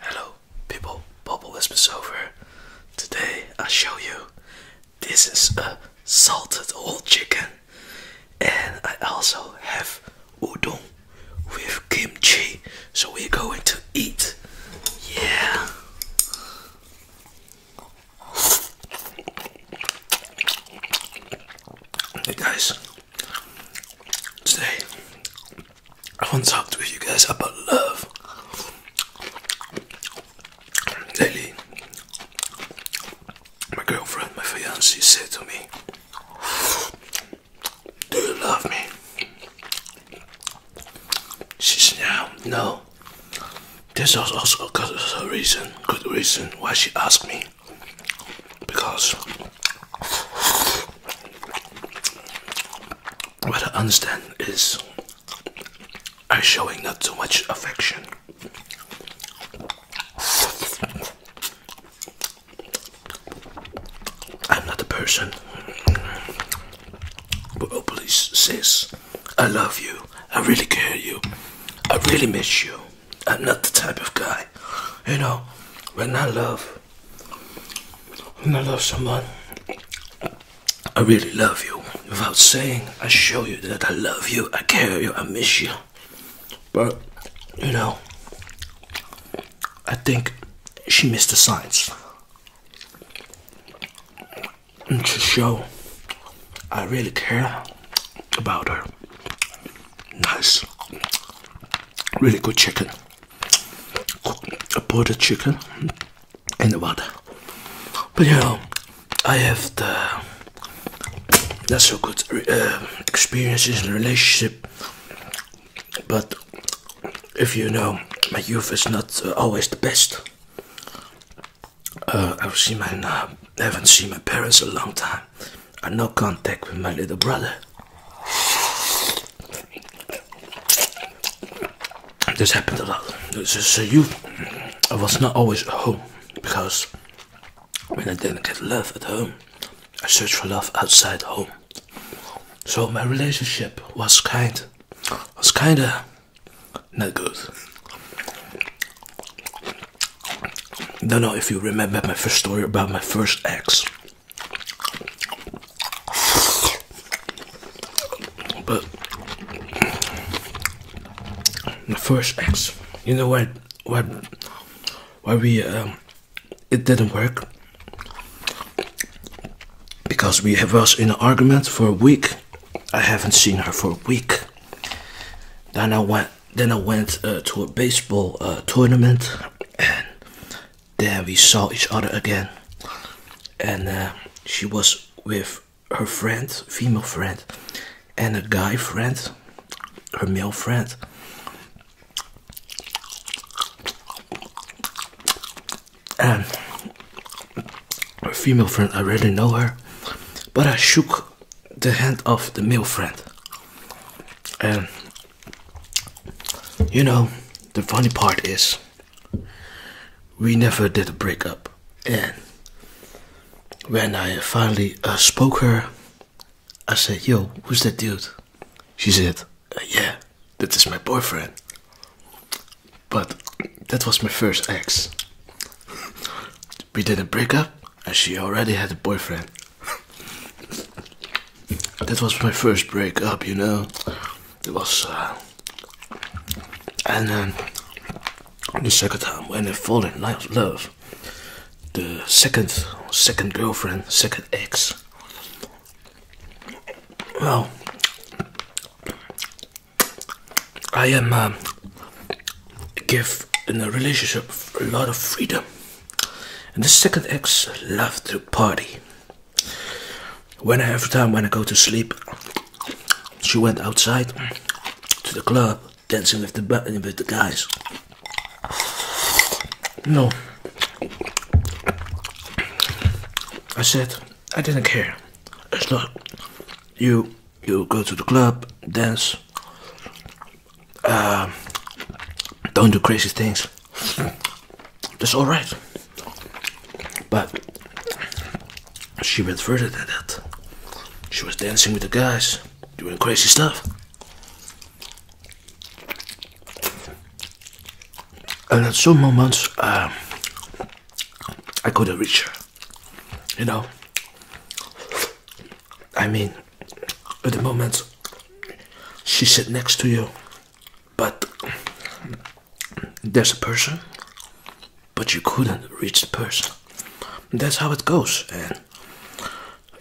Hello people, Bubble Whispers over. Today I show you this is a salted old chicken and I also have udon with kimchi so we're going to eat yeah Hey guys, today I want to talk to you guys about love. Lately, my girlfriend, my fiancée said to me, Do you love me? She's now, no. This was also because a reason, good reason why she asked me. Because what I understand is I'm showing not too much affection. I'm not a person but always sis. I love you. I really care you. I really miss you. I'm not the type of guy, you know, when I love, when I love someone, I really love you. Without saying, I show you that I love you, I care you, I miss you. But, you know, I think she missed the signs and to show I really care about her. Nice, really good chicken. a bought the chicken in the water, but you know, I have the not so good uh, experiences in relationship. But if you know, my youth is not uh, always the best. Uh, I've not uh, seen my parents a long time. I no contact with my little brother. This happened a lot. So you, I was not always at home because when I didn't get love at home, I searched for love outside home. So my relationship was kind, was kinda no good. Don't know if you remember my first story about my first ex. But my first ex, you know why why why we um, it didn't work because we have us in an argument for a week I haven't seen her for a week. Then I went. Then I went uh, to a baseball uh, tournament, and there we saw each other again. And uh, she was with her friend, female friend, and a guy friend, her male friend and her female friend, I really know her, but I shook the hand of the male friend, and you know, the funny part is we never did a breakup, and when I finally uh, spoke her, I said, "Yo, who's that dude?" She said, uh, "Yeah, that is my boyfriend." But that was my first ex. We did a breakup, and she already had a boyfriend. That was my first breakup, you know. It was, uh, and then the second time when I fall in love, the second, second girlfriend, second ex. Well, I am um, give in a relationship a lot of freedom, and the second ex love to party. When I, have time when I go to sleep, she went outside to the club dancing with the with the guys. No, I said. I didn't care. It's not you. You go to the club, dance. Uh, don't do crazy things. That's all right. But she went further than that. She was dancing with the guys, doing crazy stuff and at some moments um, I couldn't reach her. You know, I mean, at the moment she sit next to you, but there's a person, but you couldn't reach the person. That's how it goes, and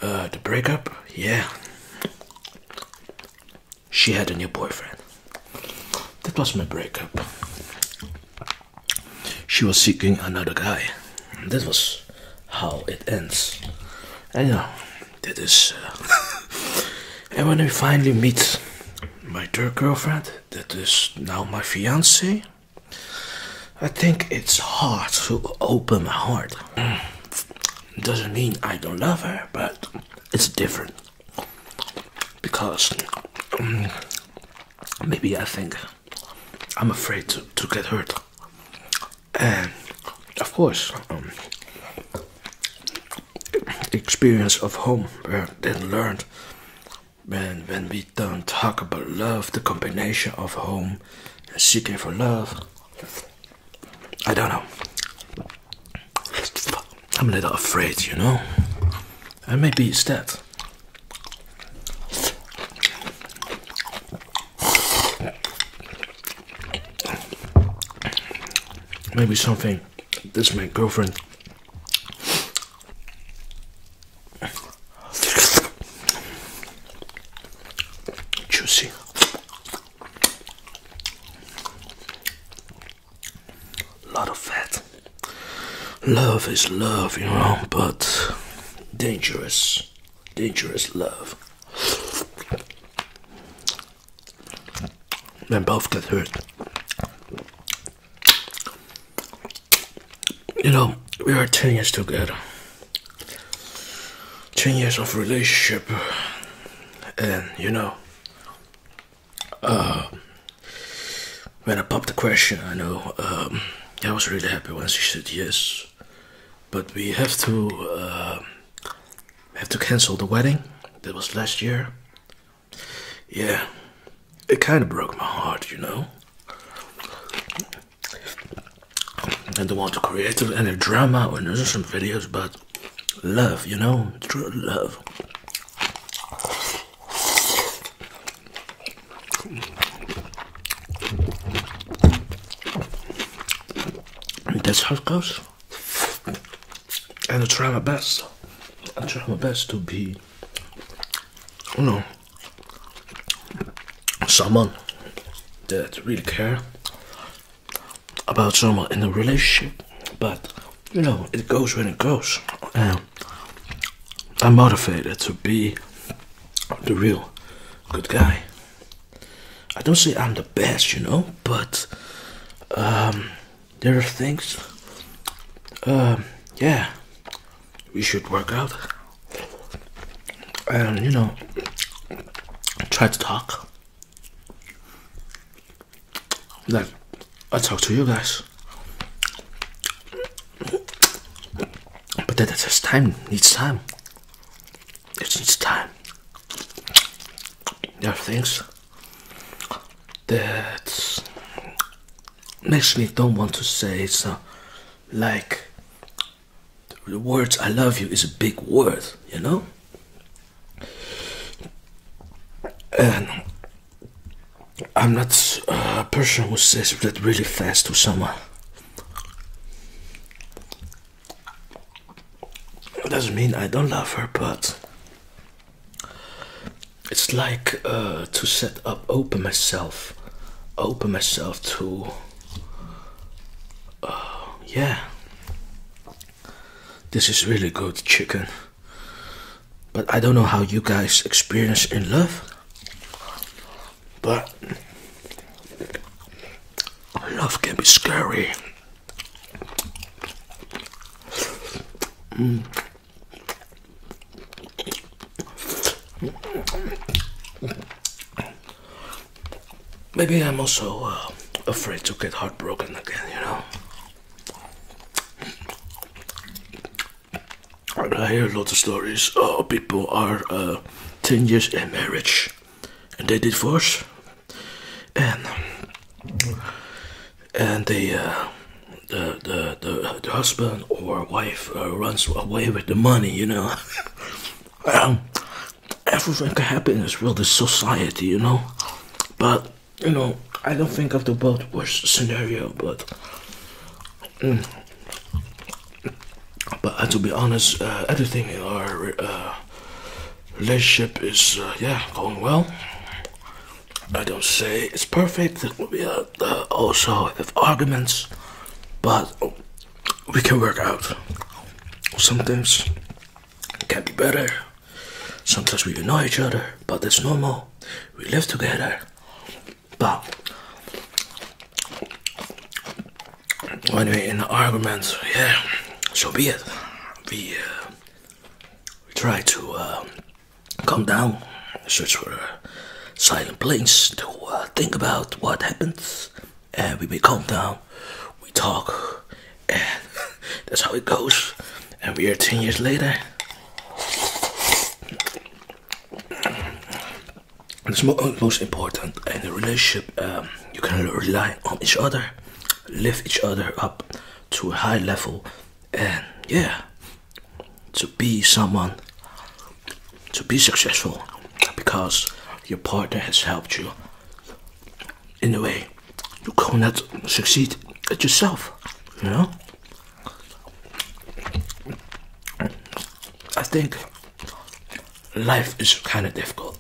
uh, the breakup, yeah she had a new boyfriend. That was my breakup. She was seeking another guy. That was how it ends. I know that is. Uh, and when I finally meet my third girlfriend, that is now my fiance, I think it's hard to open my heart. Mm. Doesn't mean I don't love her, but it's different because um, maybe I think I'm afraid to, to get hurt. And of course, the um, experience of home uh, then learned when, when we don't talk about love, the combination of home and seeking for love I don't know. I'm a little afraid, you know. And maybe it's dead. Maybe something this my girlfriend juicy a lot of fat. Love is love, you know, but dangerous, dangerous love. And both get hurt. You know, we are 10 years together. 10 years of relationship and you know, uh, when I popped the question, I know um, I was really happy when she said yes. But we have to uh, have to cancel the wedding that was last year. Yeah, it kind of broke my heart, you know. I don't want to create any drama or there's some videos but love you know true love that's how it goes and I try my best I try my best to be you know someone that really care about someone in a relationship, but you know, it goes when it goes. I'm motivated to be the real good guy. I don't say I'm the best, you know, but um, there are things, um, yeah, we should work out and you know, try to talk. Like, I talk to you guys, but that takes time. Needs time. It needs time. There are things that makes me don't want to say it's like the words I love you is a big word, you know? And I'm not uh, a person who says that really fast to someone. It doesn't mean I don't love her, but it's like uh, to set up, open myself, open myself to Oh yeah, this is really good chicken. But I don't know how you guys experience in love. But love can be scary. Mm. Maybe I'm also uh, afraid to get heartbroken again, you know. I hear a lot of stories. Oh, people are uh, 10 years in marriage and they divorce and and uh, the, the, the the husband or wife runs away with the money you know Um, everything can happen in this world, this society, you know. But you know, I don't think of the world worst scenario, but. Mm. but uh, to be honest, uh, everything in our uh, relationship is yeah going well. I don't say it's perfect. We also have arguments, but we can work out. Sometimes it can be better. Sometimes we annoy each other, but that's normal. We live together. But anyway, in the arguments, yeah, so be it. We, uh, we try to uh, calm down, search for silent place to uh, think about what happens, and we, may calm down, we talk, and that's how it goes. And we are 10 years later. It's uh, most important in a relationship, um, you can rely on each other, lift each other up to a high level, and yeah, to be someone, to be successful, because your partner has helped you. In a way, you cannot succeed at yourself, you know? I think life is kind of difficult,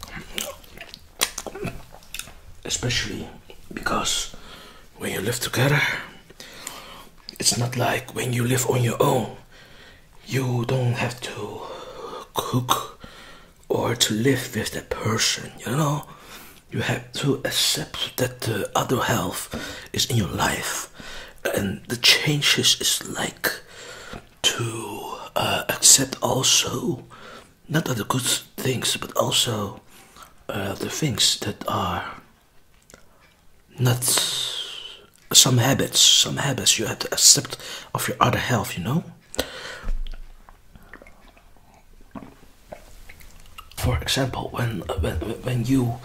especially because when you live together, it's not like when you live on your own, you don't have to cook or to live with that person, you know. You have to accept that the other health is in your life, and the changes is like to uh, accept also not only good things, but also uh, the things that are not some habits, some habits you have to accept of your other health, you know. For example, when when when you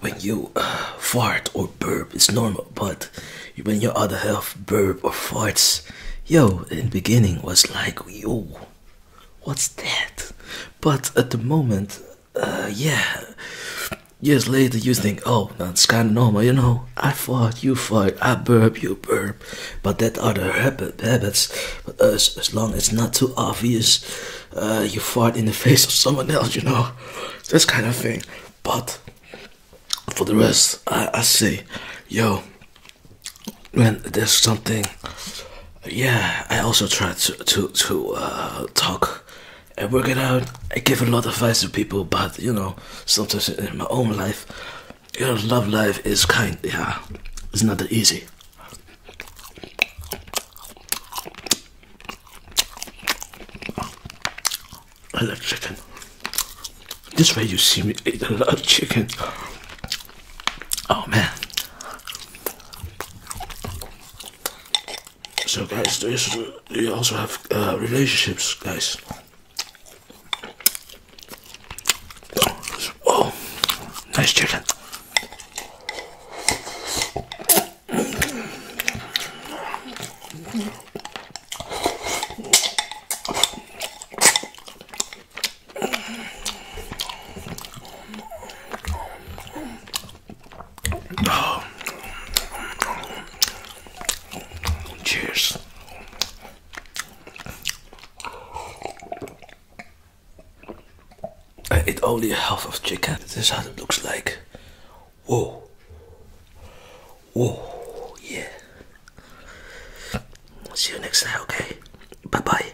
when you uh, fart or burp, it's normal. But when your other half burp or farts, yo, in beginning was like, yo, what's that? But at the moment, uh, yeah. Years later, you think, oh, that's kind of normal, you know. I fart, you fart, I burp, you burp. But that other habits, uh, as, long as it's not too obvious, uh, you fart in the face of someone else, you know. This kind of thing. But for the rest, I, I say, yo, when there's something yeah, I also try to to to uh, talk and work it out. I give a lot of advice to people, but you know, sometimes in my own life, your love life is kind. Yeah, it's not that easy. I love chicken. This way you see me eat a lot of chicken. Oh man. So guys, you also have uh, relationships, guys. Oh, nice chicken. Cheers. Uh, I ate only half of chicken. This is how it looks like. Whoa. Whoa. Yeah. See you next time, okay? Bye bye.